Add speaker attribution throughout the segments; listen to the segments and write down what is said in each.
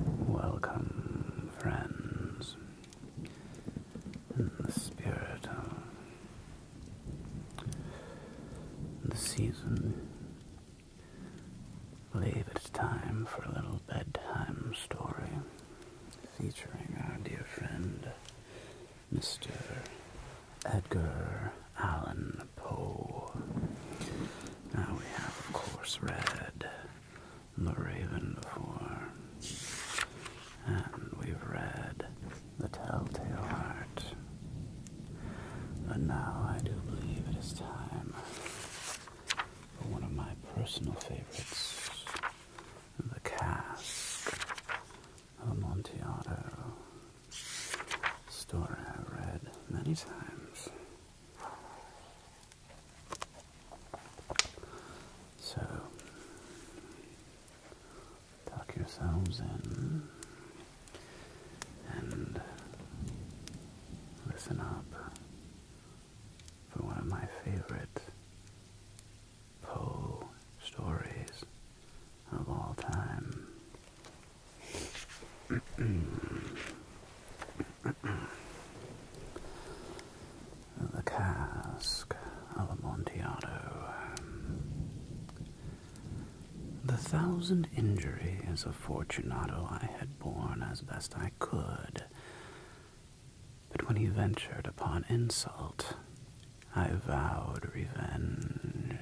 Speaker 1: Welcome, friends, in the spirit of the season. I believe it's time for a little bedtime story featuring our dear friend Mr. Edgar Allan Poe. Now we have, of course, read The Raven before, and we've read The Telltale Heart. and now I do believe it is time for one of my personal favorites, The Cask a Amontillado story I've read many times. So, tuck yourselves in and listen up for one of my favorite Poe stories of all time. the cask of Amontillado. The thousand injuries of Fortunato I had borne as best I could, but when he ventured upon insult, I vowed revenge.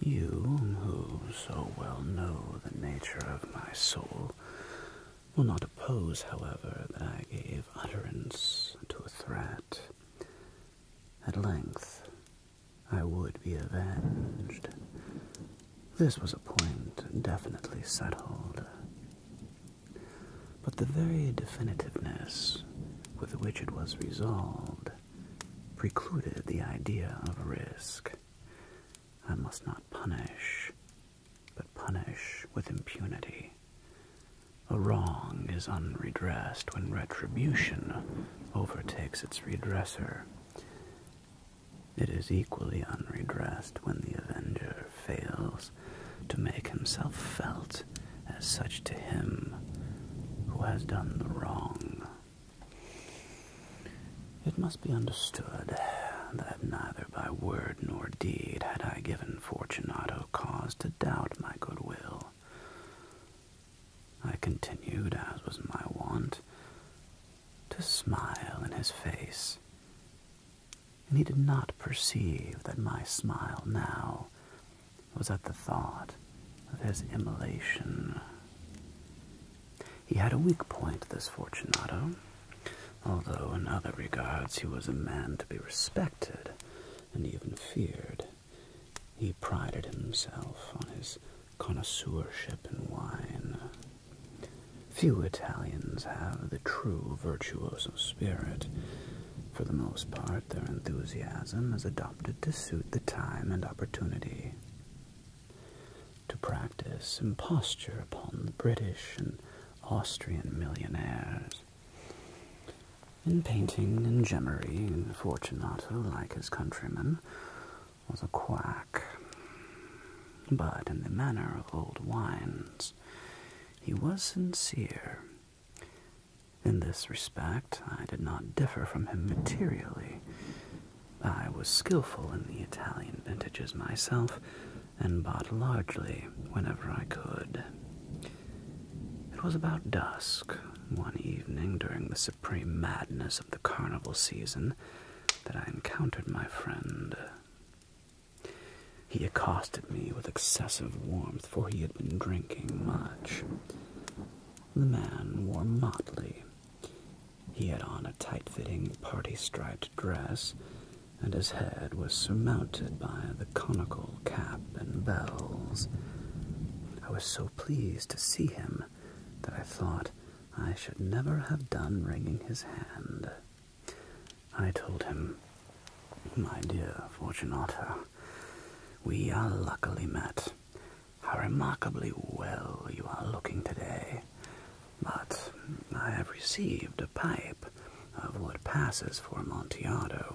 Speaker 1: You, who so well know the nature of my soul, will not oppose, however, that I gave utterance to a threat. At length, I would be avenged. This was a point definitely settled. But the very definitiveness with which it was resolved precluded the idea of risk. I must not punish, but punish with impunity. A wrong is unredressed when retribution overtakes its redresser. It is equally unredressed when the avenger fails to make himself felt as such to him who has done the wrong. It must be understood that neither by word nor deed had I given Fortunato cause to doubt my goodwill. I continued, as was my wont, to smile in his face, and he did not perceive that my smile now was at the thought of his immolation. He had a weak point, this Fortunato, although in other regards he was a man to be respected and even feared. He prided himself on his connoisseurship in wine. Few Italians have the true virtuoso spirit, for the most part, their enthusiasm is adopted to suit the time and opportunity. To practice imposture upon the British and Austrian millionaires. In painting and gemmery, Fortunato, like his countrymen, was a quack. But in the manner of old wines, he was sincere in this respect, I did not differ from him materially. I was skillful in the Italian vintages myself, and bought largely whenever I could. It was about dusk, one evening during the supreme madness of the carnival season, that I encountered my friend. He accosted me with excessive warmth for he had been drinking much. The man wore motley. He had on a tight fitting, party striped dress, and his head was surmounted by the conical cap and bells. I was so pleased to see him that I thought I should never have done wringing his hand. I told him, My dear Fortunata." We are luckily met. How remarkably well you are looking today. But I have received a pipe of what passes for Montiardo,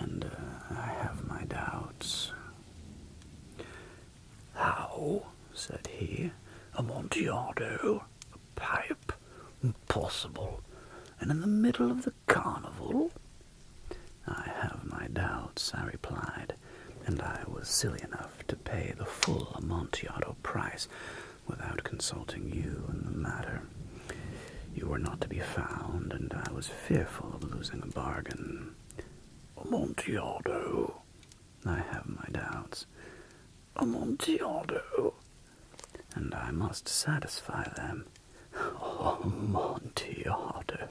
Speaker 1: and uh, I have my doubts. How? said he. Amontillado? A pipe? Impossible. And in the middle of the carnival? I have my doubts, I replied, and I was silly enough to pay the full Amontillado price without consulting you in the matter. You were not to be found, and I was fearful of losing a bargain. Amontillado? I have my doubts. Amontillado? And I must satisfy them. Oh, Montiardo.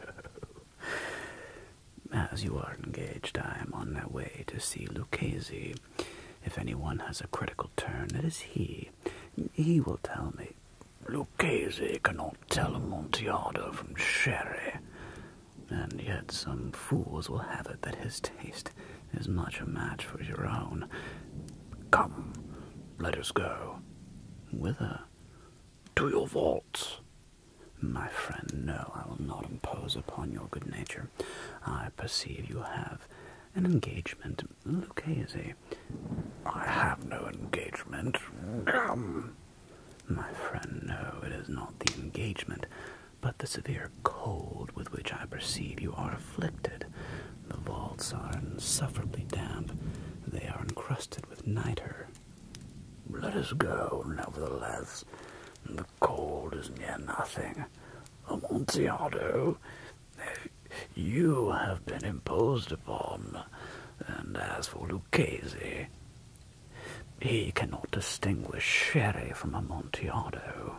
Speaker 1: As you are engaged, I am on my way to see Lucchese. If anyone has a critical turn, it is he. He will tell me. Lucchese cannot tell a Montiardo from Sherry. And yet some fools will have it that his taste is much a match for your own. Come, let us go. Whither? To your vaults. My friend, no, I will not impose upon your good nature. I perceive you have an engagement. Lucchese. I have no engagement. Come. My friend, no, it is not the engagement, but the severe cold with which I perceive you are afflicted. The vaults are insufferably damp. They are encrusted with niter. Let us go, nevertheless. The cold is near nothing. Amontillado, you have been imposed upon, and as for Lucchese, he cannot distinguish sherry from Amontillado.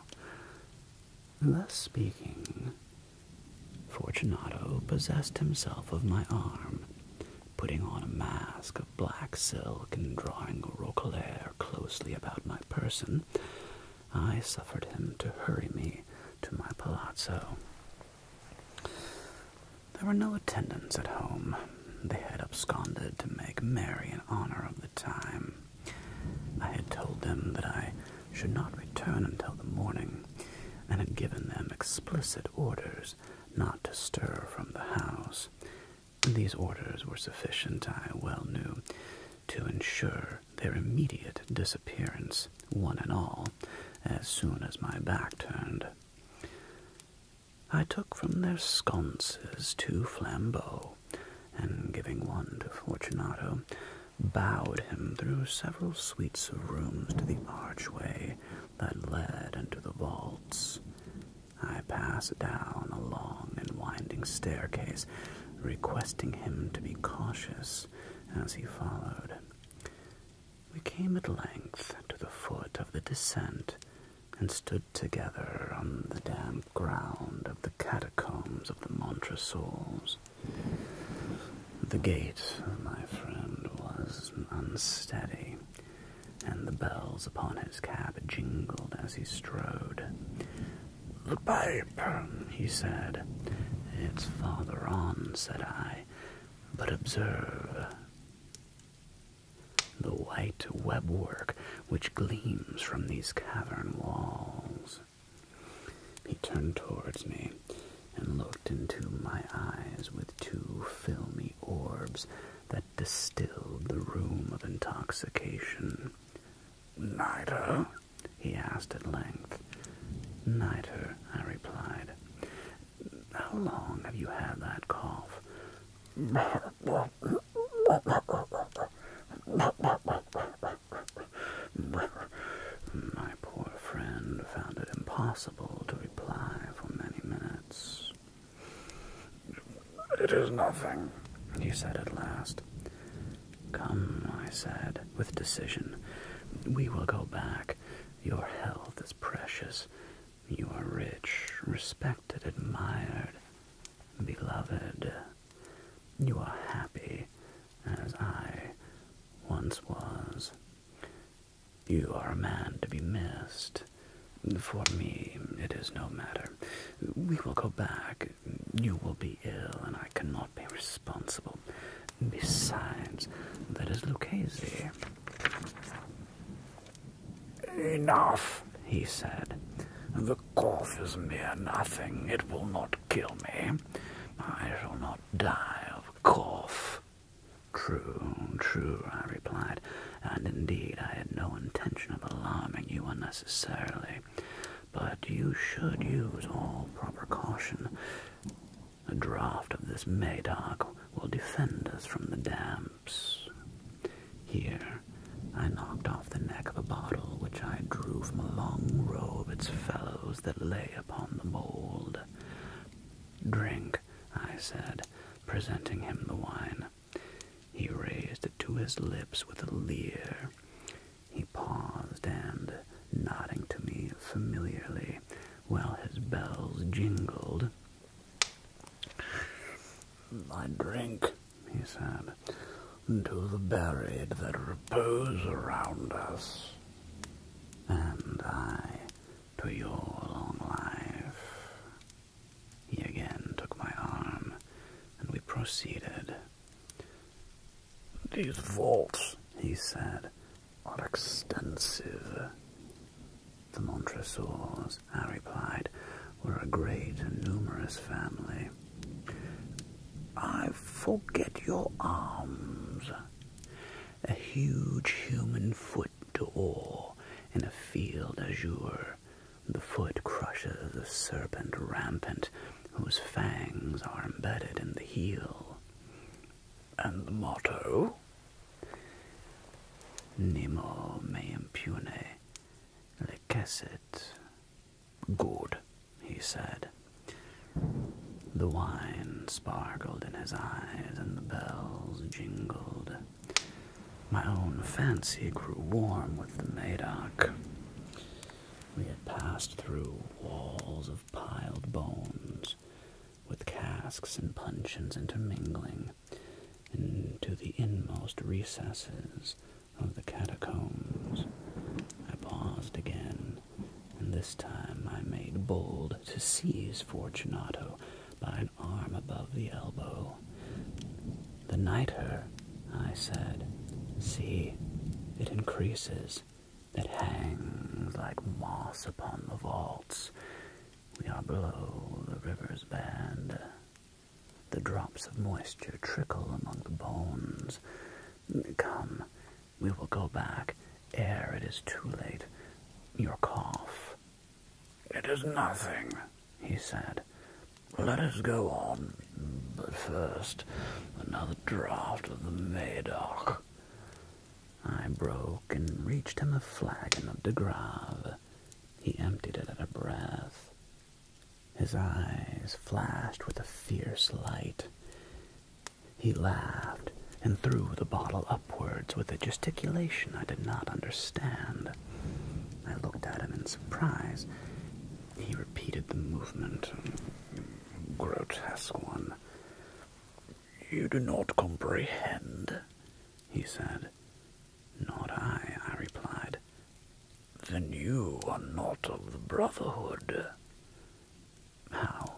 Speaker 1: Thus speaking, Fortunato possessed himself of my arm, putting on a mask of black silk and drawing a roquelaire closely about my person. I suffered him to hurry me to my palazzo. There were no attendants at home. They had absconded to make merry in honor of the time. I had told them that I should not return until the morning, and had given them explicit orders not to stir from the house. These orders were sufficient, I well knew, to ensure their immediate disappearance, one and all, as soon as my back turned. I took from their sconces two flambeaux, and giving one to Fortunato, bowed him through several suites of rooms to the archway that led into the vaults. I passed down a long and winding staircase, requesting him to be cautious as he followed. We came at length to the foot of the descent and stood together on the damp ground of the catacombs of the Montresors. The gate, my friend, was unsteady, and the bells upon his cab jingled as he strode. The pipe, he said. It's farther on, said I, but observe the white webwork which gleams from these cavern walls. He turned towards me and looked into my eyes with two filmy orbs that distilled the room of intoxication. Neither? he asked at length. Neither, I replied. How long have you had that cough? My poor friend found it impossible to reply for many minutes. It is nothing, he said at last. Come, I said, with decision. We will go back. Your health is precious. You are rich, respected, admired, beloved. You are happy, as I once was. You are a man to be missed. For me, it is no matter. We will go back. You will be ill, and I cannot be responsible. Besides, that is Lucchese. Enough, he said. The cough is mere nothing. It will not kill me. I shall not die of a cough. True, true, I replied, and indeed I had no intention of alarming you unnecessarily. But you should use all proper caution. A draught of this Medoc will defend us from the damps. Here, I knocked off the neck of a bottle which I drew from a long row of its fellows that lay upon the mould. Drink, I said, presenting him the wine. He raised it to his lips with a leer. He paused and, nodding to me familiarly while his bells jingled, I drink, he said, to the buried that repose around us. And I to your long life. He again took my arm, and we proceeded. These vaults, he said, are extensive. The Montresors, I replied, were a great and numerous family. I forget your arms a huge human foot to oar in a field azure. The foot crushes a serpent rampant whose fangs are embedded in the heel. And the motto? Nemo me impune lecessit. Good, he said. The wine sparkled in his eyes, and the bells jingled. My own fancy grew warm with the Madoc. We had passed through walls of piled bones, with casks and puncheons intermingling, into the inmost recesses of the catacombs. I paused again, and this time I made bold to seize Fortunato by an arm above the elbow. The nitre, I said, see, it increases. It hangs like moss upon the vaults. We are below the river's band. The drops of moisture trickle among the bones. Come, we will go back ere it is too late. Your cough. It is nothing, he said. Let us go on, but first, another draught of the Medoc. I broke and reached him a flagon of de Grave. He emptied it at a breath. His eyes flashed with a fierce light. He laughed and threw the bottle upwards with a gesticulation I did not understand. I looked at him in surprise. He repeated the movement, a grotesque one. You do not comprehend, he said. Not I, I replied. Then you are not of the Brotherhood. How?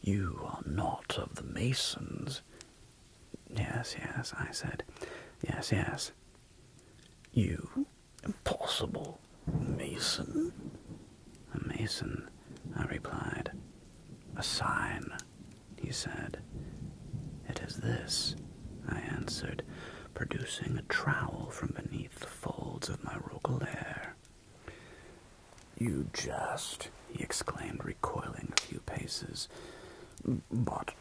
Speaker 1: You are not of the Masons. Yes, yes, I said. Yes, yes. You? Impossible. Mason? A Mason, I replied. A sign, he said. It is this, I answered, producing a trowel from beneath the folds of my hair. You just," he exclaimed, recoiling a few paces. But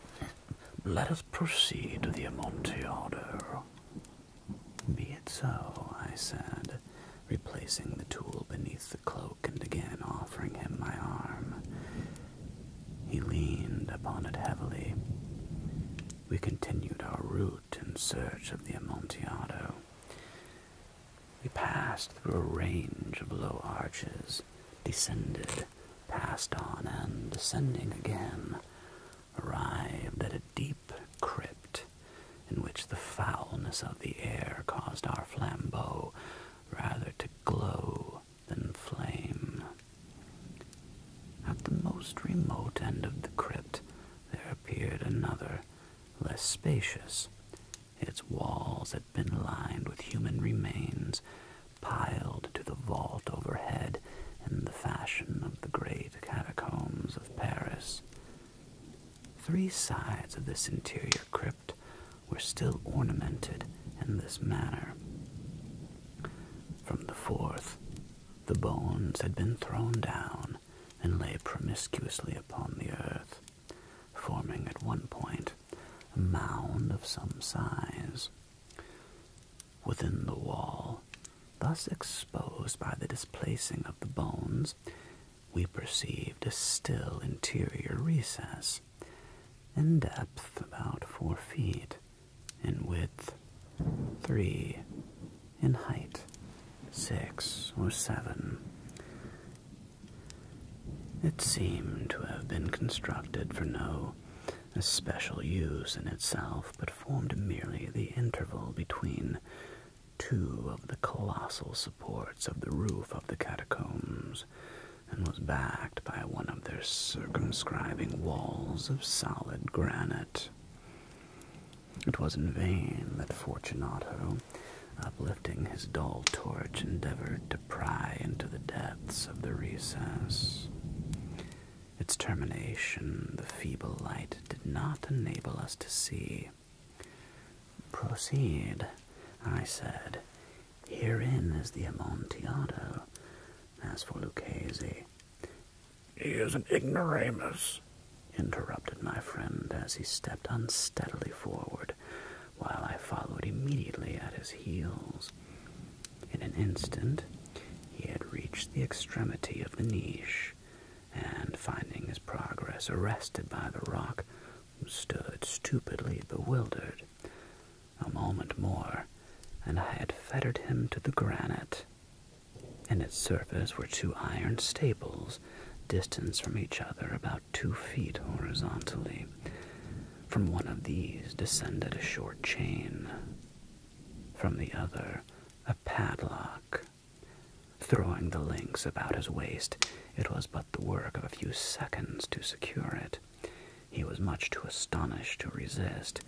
Speaker 1: let us proceed to the Amontillado. Be it so, I said, replacing the tool beneath the cloak and again offering him my arm. He leaned upon it heavily. We continued our route in search of the Amontillado. We passed through a range of low arches, descended, passed on, and descending again, arrived at a deep crypt in which the foulness of the air caused our flambeau rather to glow than flame. At the most remote end of the crypt there appeared another, less spacious, its walls had been lined with human remains piled to the vault overhead in the fashion of the great catacombs of Paris. Three sides of this interior crypt were still ornamented in this manner. From the fourth, the bones had been thrown down and lay promiscuously upon the earth forming at one point a mound of some size within the wall, thus exposed by the displacing of the bones. We perceived a still interior recess, in depth about four feet, in width three, in height six, or seven. It seemed to have been constructed for no especial use in itself, but formed merely the interval between two of the colossal supports of the roof of the catacombs, and was backed by one of their circumscribing walls of solid granite. It was in vain that Fortunato, uplifting his dull torch, endeavored to pry into the depths of the recess. Its termination, the feeble light did not enable us to see. Proceed, I said. Herein is the Amontillado. As for Lucchese, he is an ignoramus, interrupted my friend as he stepped unsteadily forward, while I followed immediately at his heels. In an instant, he had reached the extremity of the niche, and finding his progress arrested by the rock, stood stupidly bewildered. A moment more, and I had fettered him to the granite. In its surface were two iron staples, distant from each other about two feet horizontally. From one of these descended a short chain, from the other, a padlock. Throwing the links about his waist, it was but the work of a few seconds to secure it. He was much too astonished to resist.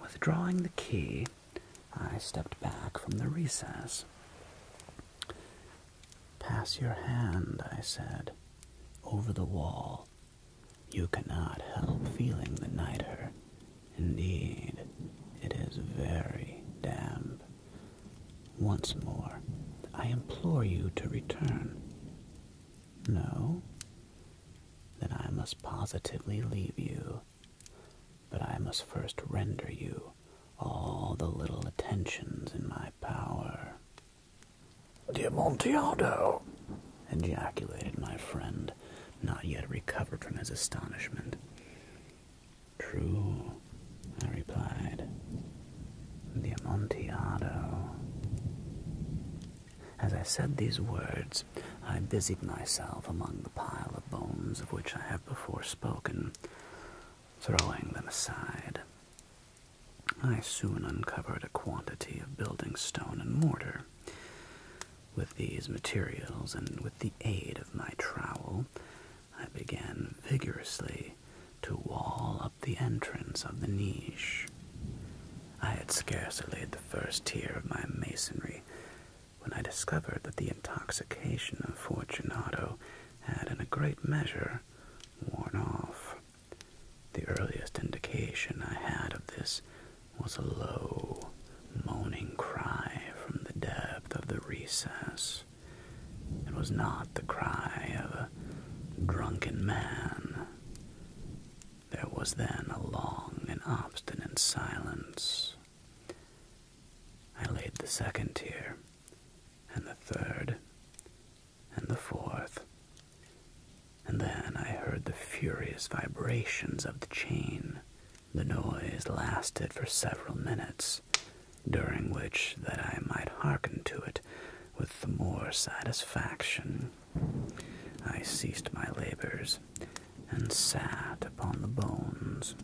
Speaker 1: Withdrawing the key, I stepped back from the recess. Pass your hand, I said, over the wall. You cannot help feeling the nitre. Indeed, it is very damp. Once more, I implore you to return. No? Then I must positively leave you but I must first render you all the little attentions in my power. Dear Montiado, ejaculated my friend, not yet recovered from his astonishment. True, I replied. The Amontillado. As I said these words, I busied myself among the pile of bones of which I have before spoken. Throwing them aside, I soon uncovered a quantity of building stone and mortar. With these materials and with the aid of my trowel, I began vigorously to wall up the entrance of the niche. I had scarcely laid the first tier of my masonry when I discovered that the intoxication of Fortunato had in a great measure worn off. The earliest indication I had of this was a low, moaning cry from the depth of the recess. It was not the cry of a drunken man. There was then a long and obstinate silence. I laid the second tier and the third, and the fourth. And then I heard the furious vibrations of the chain. The noise lasted for several minutes, during which that I might hearken to it with the more satisfaction. I ceased my labors and sat upon the bones.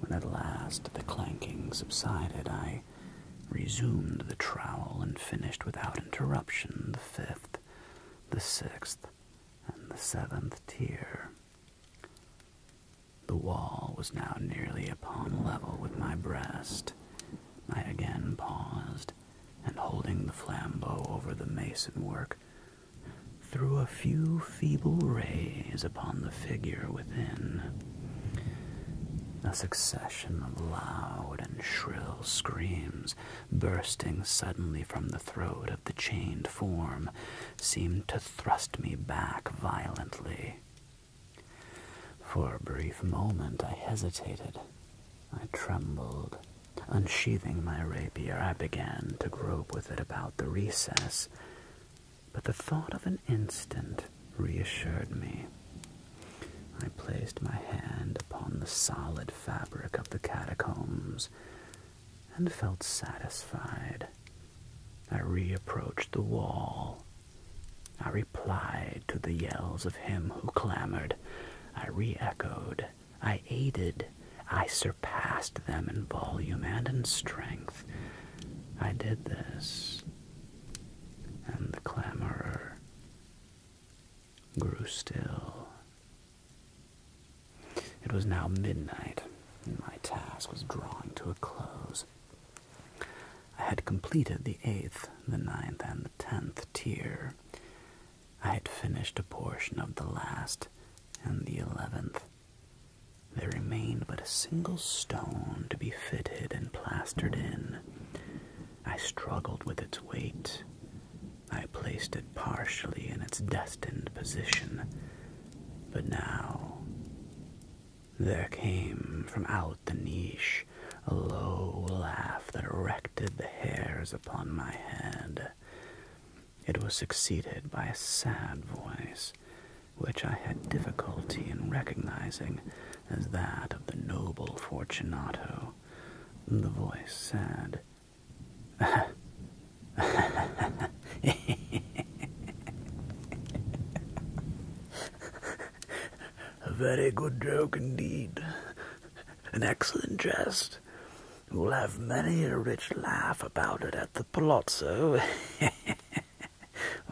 Speaker 1: When at last the clanking subsided, I resumed the trowel and finished without interruption the fifth, the sixth, and the seventh tier. The wall was now nearly upon level with my breast. I again paused, and holding the flambeau over the mason work, threw a few feeble rays upon the figure within. A succession of loud and shrill screams, bursting suddenly from the throat of the chained form, seemed to thrust me back violently. For a brief moment I hesitated. I trembled. Unsheathing my rapier, I began to grope with it about the recess but the thought of an instant reassured me. I placed my hand upon the solid fabric of the catacombs and felt satisfied. I reapproached the wall. I replied to the yells of him who clamored. I reechoed. I aided. I surpassed them in volume and in strength. I did this. And the clamorer grew still. It was now midnight, and my task was drawing to a close. I had completed the eighth, the ninth, and the tenth tier. I had finished a portion of the last and the eleventh. There remained but a single stone to be fitted and plastered in. I struggled with its weight. I placed it partially in its destined position. But now, there came from out the niche a low laugh that erected the hairs upon my head. It was succeeded by a sad voice, which I had difficulty in recognizing as that of the noble Fortunato. The voice said, A very good joke indeed. An excellent jest. We'll have many a rich laugh about it at the palazzo.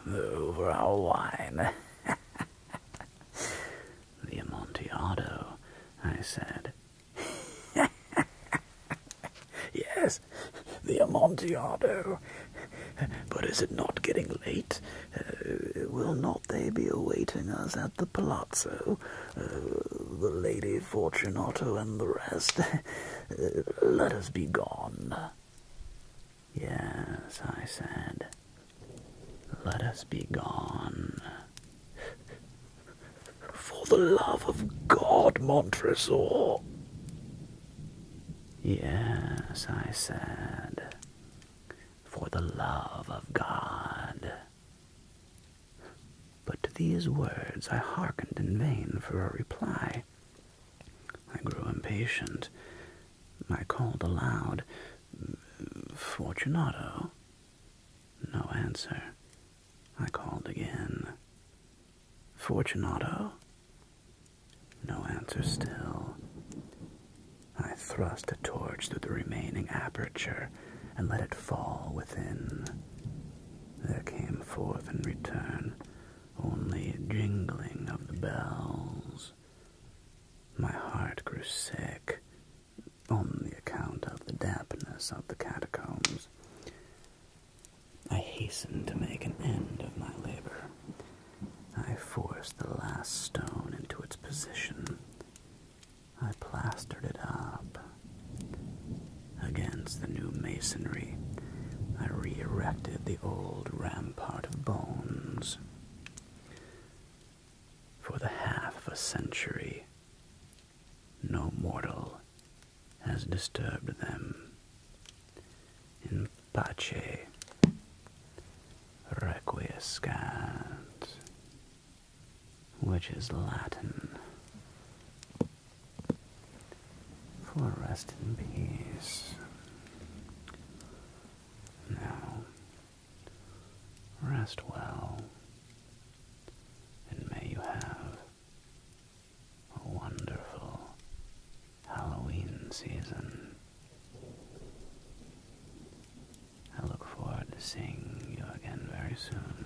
Speaker 1: the overall wine, the Amontillado, I said. yes, the Amontillado. But is it not getting late? Uh, will not they be awaiting us at the palazzo? Uh, the Lady Fortunato and the rest? Let us be gone. Yes, I said. Let us be gone. For the love of God, Montresor. Yes, I said. For the love of God. But to these words I hearkened in vain for a reply. I grew impatient. I called aloud, Fortunato. No answer. I called again. Fortunato? No answer still. I thrust a torch through the remaining aperture and let it fall within. There came forth in return only a jingling of the bells. My heart grew sick on the account of the dampness of the catacombs. I hastened to make an end of my labor. I forced the last stone into its position. I plastered it up Against the new masonry, I re erected the old rampart of bones. For the half of a century, no mortal has disturbed them. In pace requiescat, which is Latin for rest in peace. Now, rest well, and may you have a wonderful Halloween season. I look forward to seeing you again very soon.